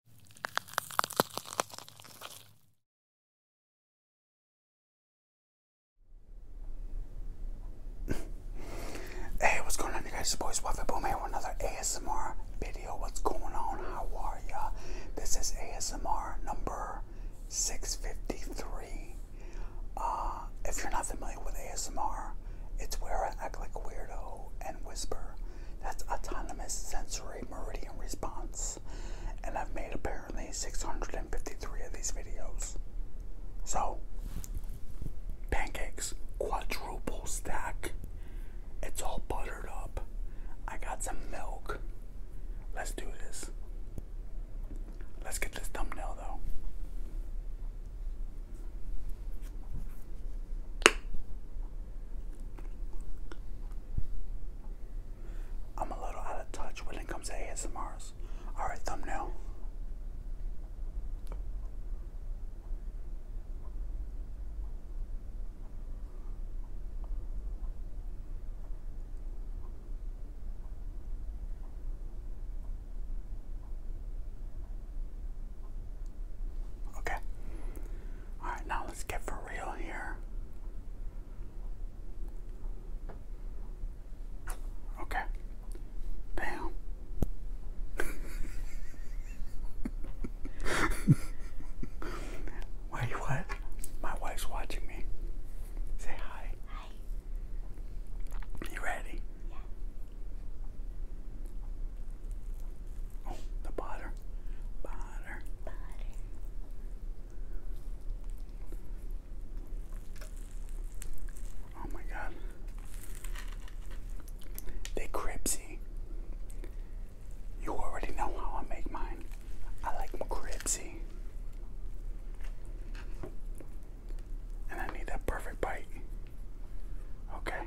Hey, what's going on, guys? It's Boys boy Swaffy Boom here with another ASMR video. What's going on? How are ya? This is ASMR number 653. Uh, if you're not familiar with ASMR, it's where I act like a weirdo and whisper that's autonomous sensory meridian response. And I've made apparently 653 of these videos. So, pancakes, quadruple stack. It's all buttered up. I got some milk. Let's do this. Let's get this thumbnail though. I'm a little out of touch when it comes to ASMRs. Alright, thumbnail. Okay. Alright, now let's get for real here. Okay. Damn. Wait, what? My wife's watching me. Say hi. Hi. You ready? Yeah. Oh, the butter. Butter. Butter. Oh my god. They cripsy. You already know how I make mine. I like them cripsy. And I need that perfect bite. Okay.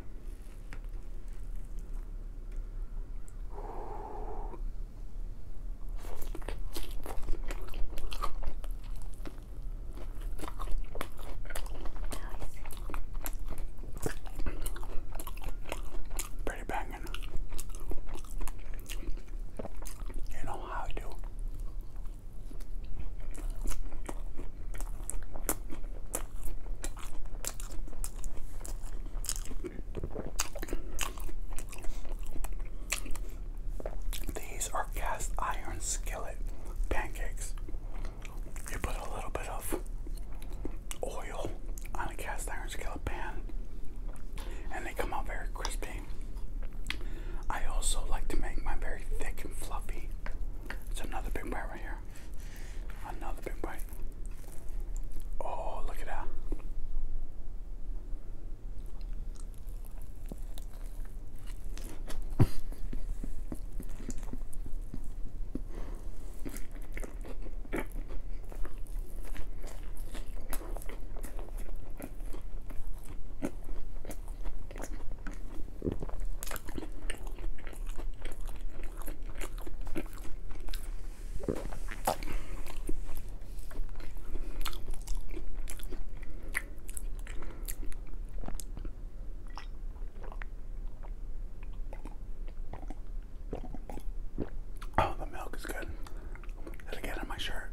Pretty banging. You know how I do. These are cast iron skillet pancakes. You put a little bit of oil on a cast iron skillet pan, and they come out very crispy I also like to make my very thick and fluffy. It's another big bite right here. Another big bite. Oh, look at that. Oh, the milk is good. Did will get on my shirt?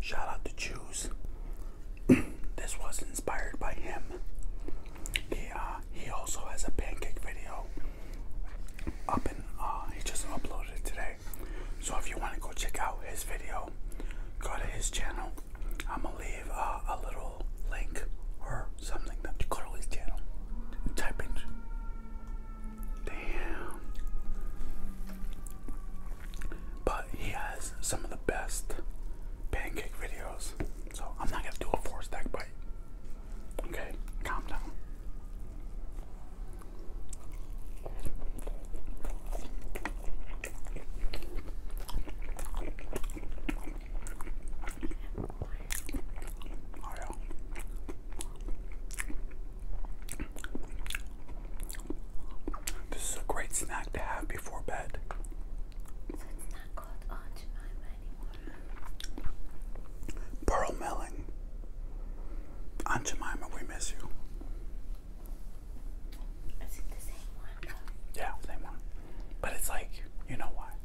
Shout out to Choose. this was inspired by him. He uh, he also has a pancake video up and uh, he just uploaded it today. So if you want to go check out his video, go to his channel. I'm gonna leave uh, a little link or something that you could his channel type in. Damn. But he has some of the best pancake videos. So I'm not gonna do a four stack bite. Okay, calm down. This is a great snack to have before bed. Pearl Melling. Aunt Jemima, we miss you. Is it the same one? Yeah, same one. But it's like, you know why.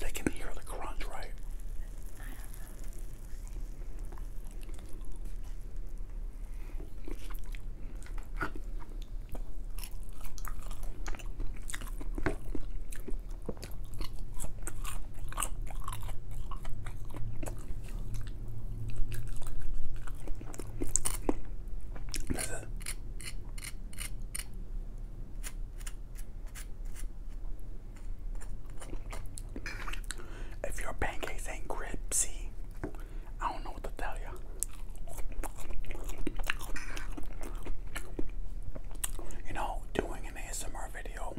They can hear the crunch, right? That's If your pancakes ain't crispy, I don't know what to tell you. You know, doing an ASMR video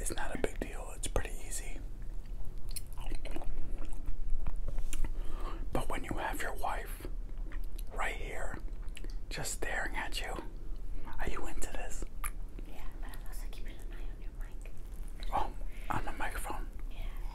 is not a big deal, it's pretty easy. But when you have your wife right here just staring at you, are you into this? Yeah, but i also keeping an eye on your mic. Oh, on the microphone? Yeah.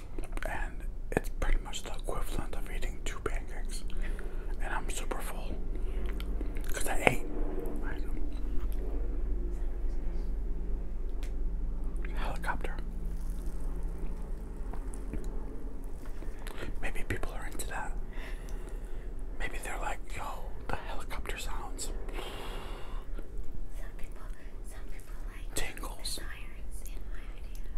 and it's pretty much the equivalent of eating two pancakes. And I'm super full because I ate. Helicopter. Maybe people are into that. Maybe they're like, yo, the helicopter sounds tingles.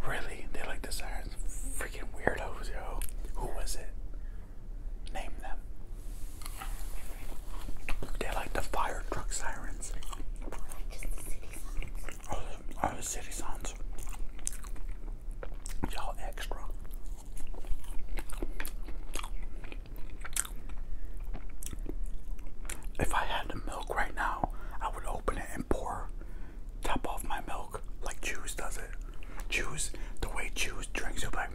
Really? They like the sirens? Freaking weirdos, yo. Who was it? Name them. They like the fire truck sirens. Like Oh, the, oh, the city sounds. Y'all extra. If I had the milk right now, I would open it and pour top off my milk like Juice does it. Juice, the way Juice drinks it, like,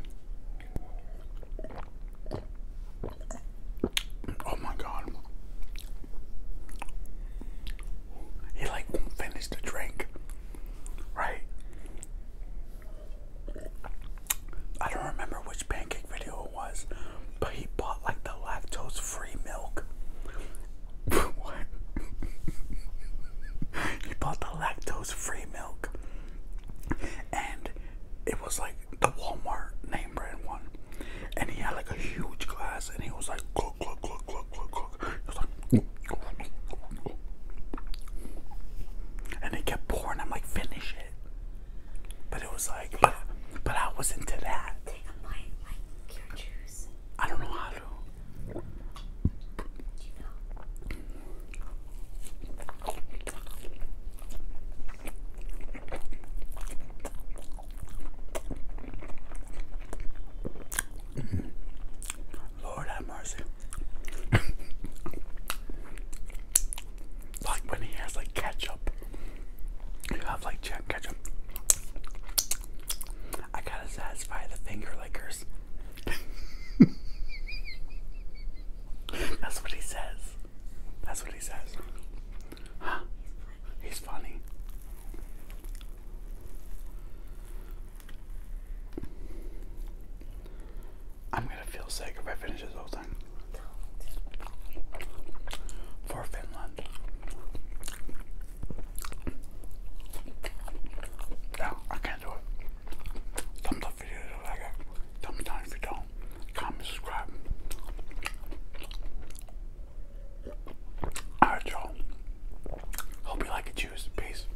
oh my god. He like won't finish the drink, right? I don't remember which pancake video it was, but he bought like the lactose free milk. what? he bought the lactose free milk. And it was like the Walmart name brand one. And he had like a huge glass and he was like look look look look look look. He was like and they kept pouring. I'm like, finish it. But it was like, but, I was into that. I don't know how to. You Lord have mercy. like when he has like ketchup. You have like jack ketchup. I gotta satisfy the finger lickers. That's what he says. That's what he says. He's funny. I'm gonna feel sick if I finish this whole thing. For Finland. No, I can't do it. Thumbs up if you like it. Thumbs down if you don't. Comment, subscribe. Alright, y'all. Hope you like it. Cheers. Peace.